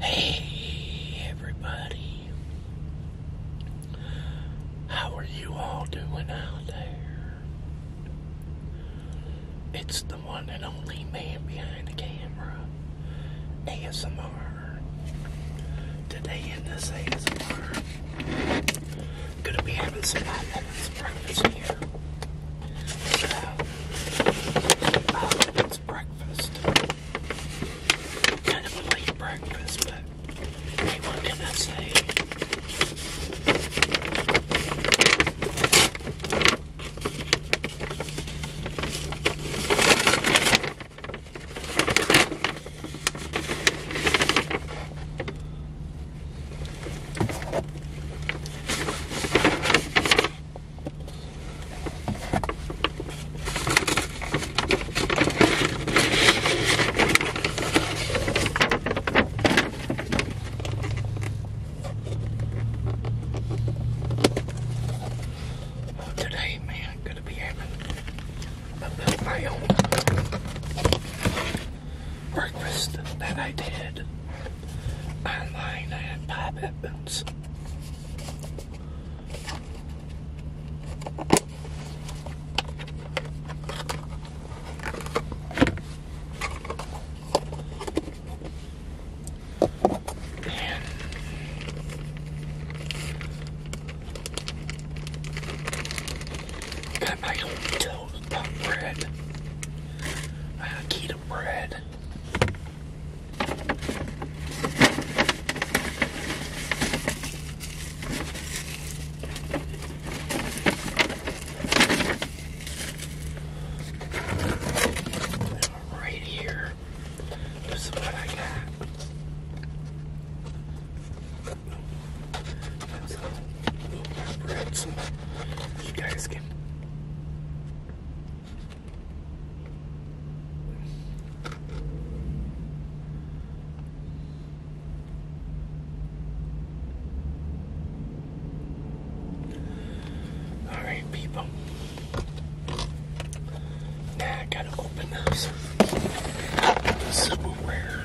Hey everybody, how are you all doing out there? It's the one and only man behind the camera, ASMR. Today in this ASMR, gonna be having some hot lemon here. So, it's breakfast. Kind of a late breakfast, but what can I say? Today, man, I'm gonna be happy. a build my own breakfast that I did online at Bob Evans. Got my own toast bread. Uh, keto the Right here, this is what I got you guys can Alright people. Now I gotta open those somewhere.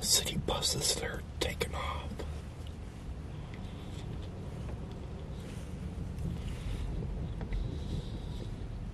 city buses that are taking off.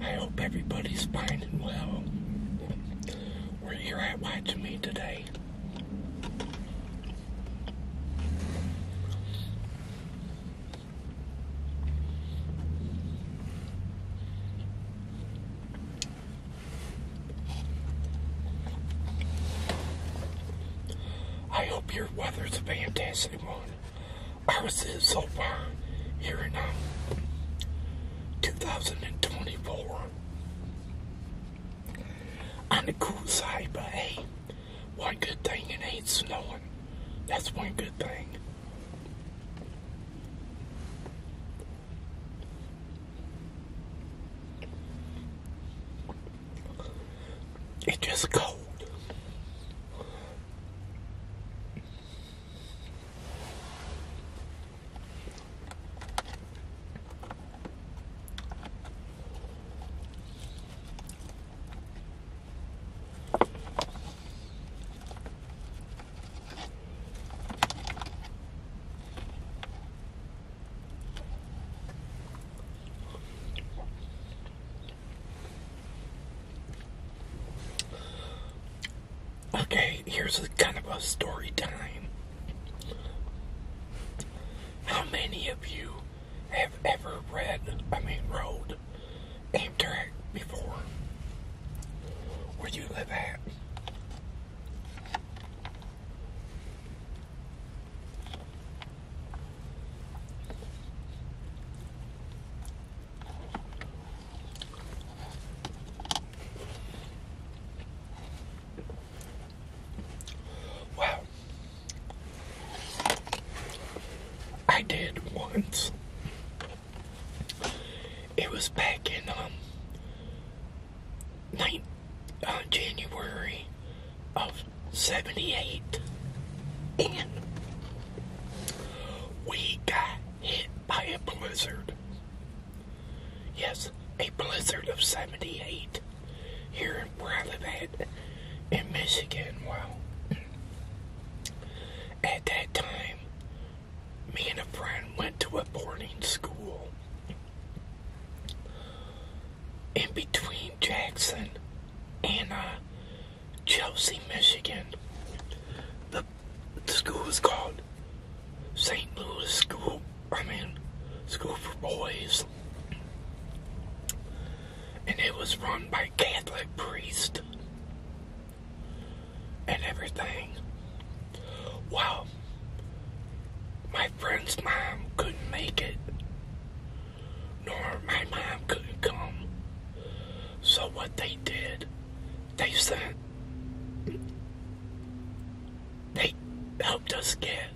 I hope everybody's finding well where you're at watching me today. I hope your weather's a fantastic one. I was in so far here in um, uh, 2024. On the cool side, but hey, one good thing it ain't snowing. That's one good thing. It just cold. Okay, here's a kind of a story time. How many of you have ever read, I mean, rode Amtrak before? Where you live at? Wow. I did once. It was back in um night uh, January of 78 and we got hit by a blizzard. Yes, a blizzard of 78 here in where I live at in Michigan. Wow. At that time, me and a friend went to a boarding school in between Jackson and uh, Chelsea, Michigan. The, school was called St. Louis School, I mean, School for Boys. And it was run by Catholic priest and everything. Well, My friend's mom couldn't make it nor my mom couldn't come. So what they did, they said they helped us get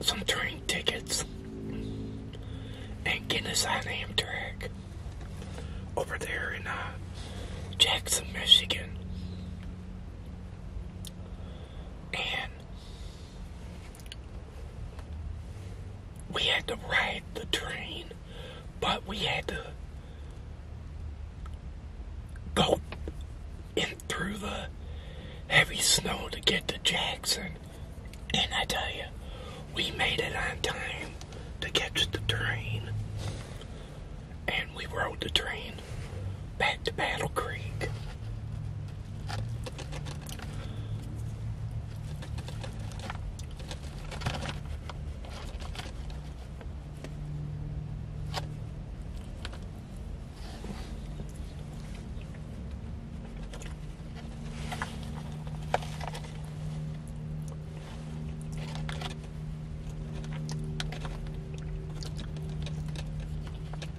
some train tickets and get us on Amtrak over there in uh, Jackson, Michigan. And we had to ride the train, but we had to go in through the heavy snow to get to Jackson. And I tell you, we made it on time to catch the train. And we rode the train back to Battle Creek.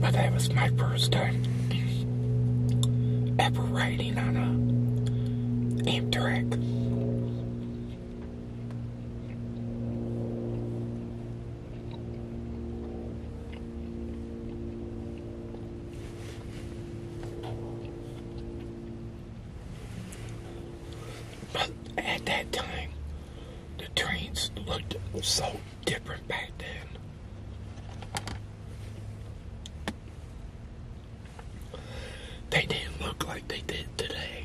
But that was my first time ever riding on a Amtrak. But at that time, the trains looked so different back then. They didn't look like they did today.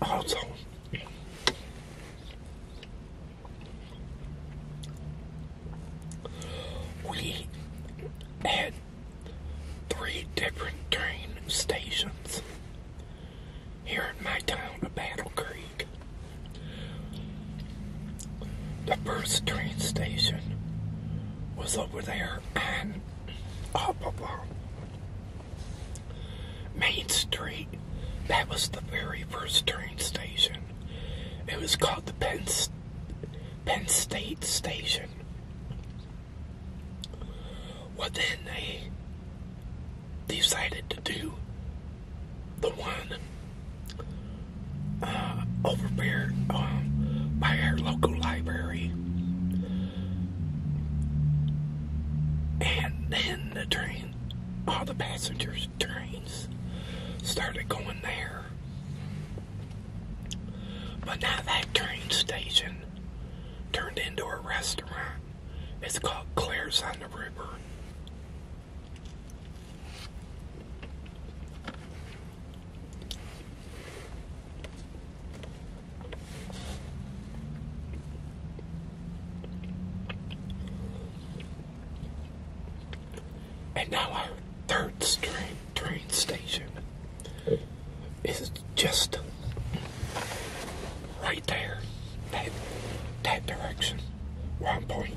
好重。We had three different train stations here in my town of Battle Creek. The first train station was over there on up Main Street. That was the very first train station. It was called the Penn, Penn State Station. Well, then they decided to do the one uh, over there um, by our local library. And then the train, all the passengers' trains started going there. But now that train station turned into a restaurant. It's called Claire's on the River. And now our third train, train station is just right there, that, that direction, where I'm pointing.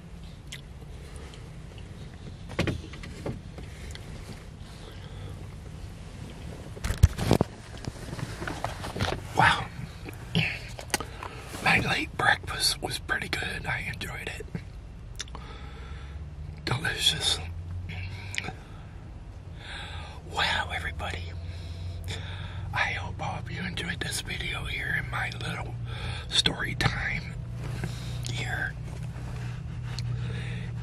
Wow. My late breakfast was pretty good. I enjoyed it. Delicious. Wow, everybody. I hope all of you enjoyed this video here in my little story time here.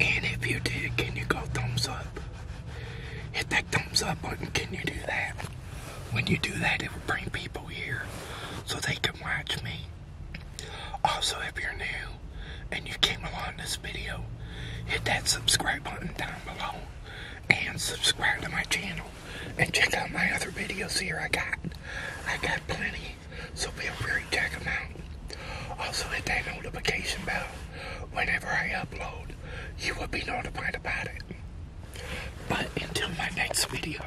And if you did, can you go thumbs up? Hit that thumbs up button. Can you do that? When you do that, it will bring people here so they can watch me. Also, if you're new and you came along this video, hit that subscribe button down below and subscribe to my channel and check out my other videos here. I got I got plenty, so feel free to check them out. Also hit that notification bell. Whenever I upload, you will be notified about it. But until my next video,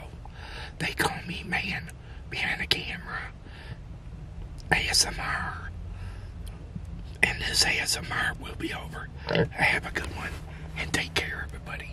they call me man behind the camera. ASMR. And this ASMR will be over. I Have a good one and take care, everybody.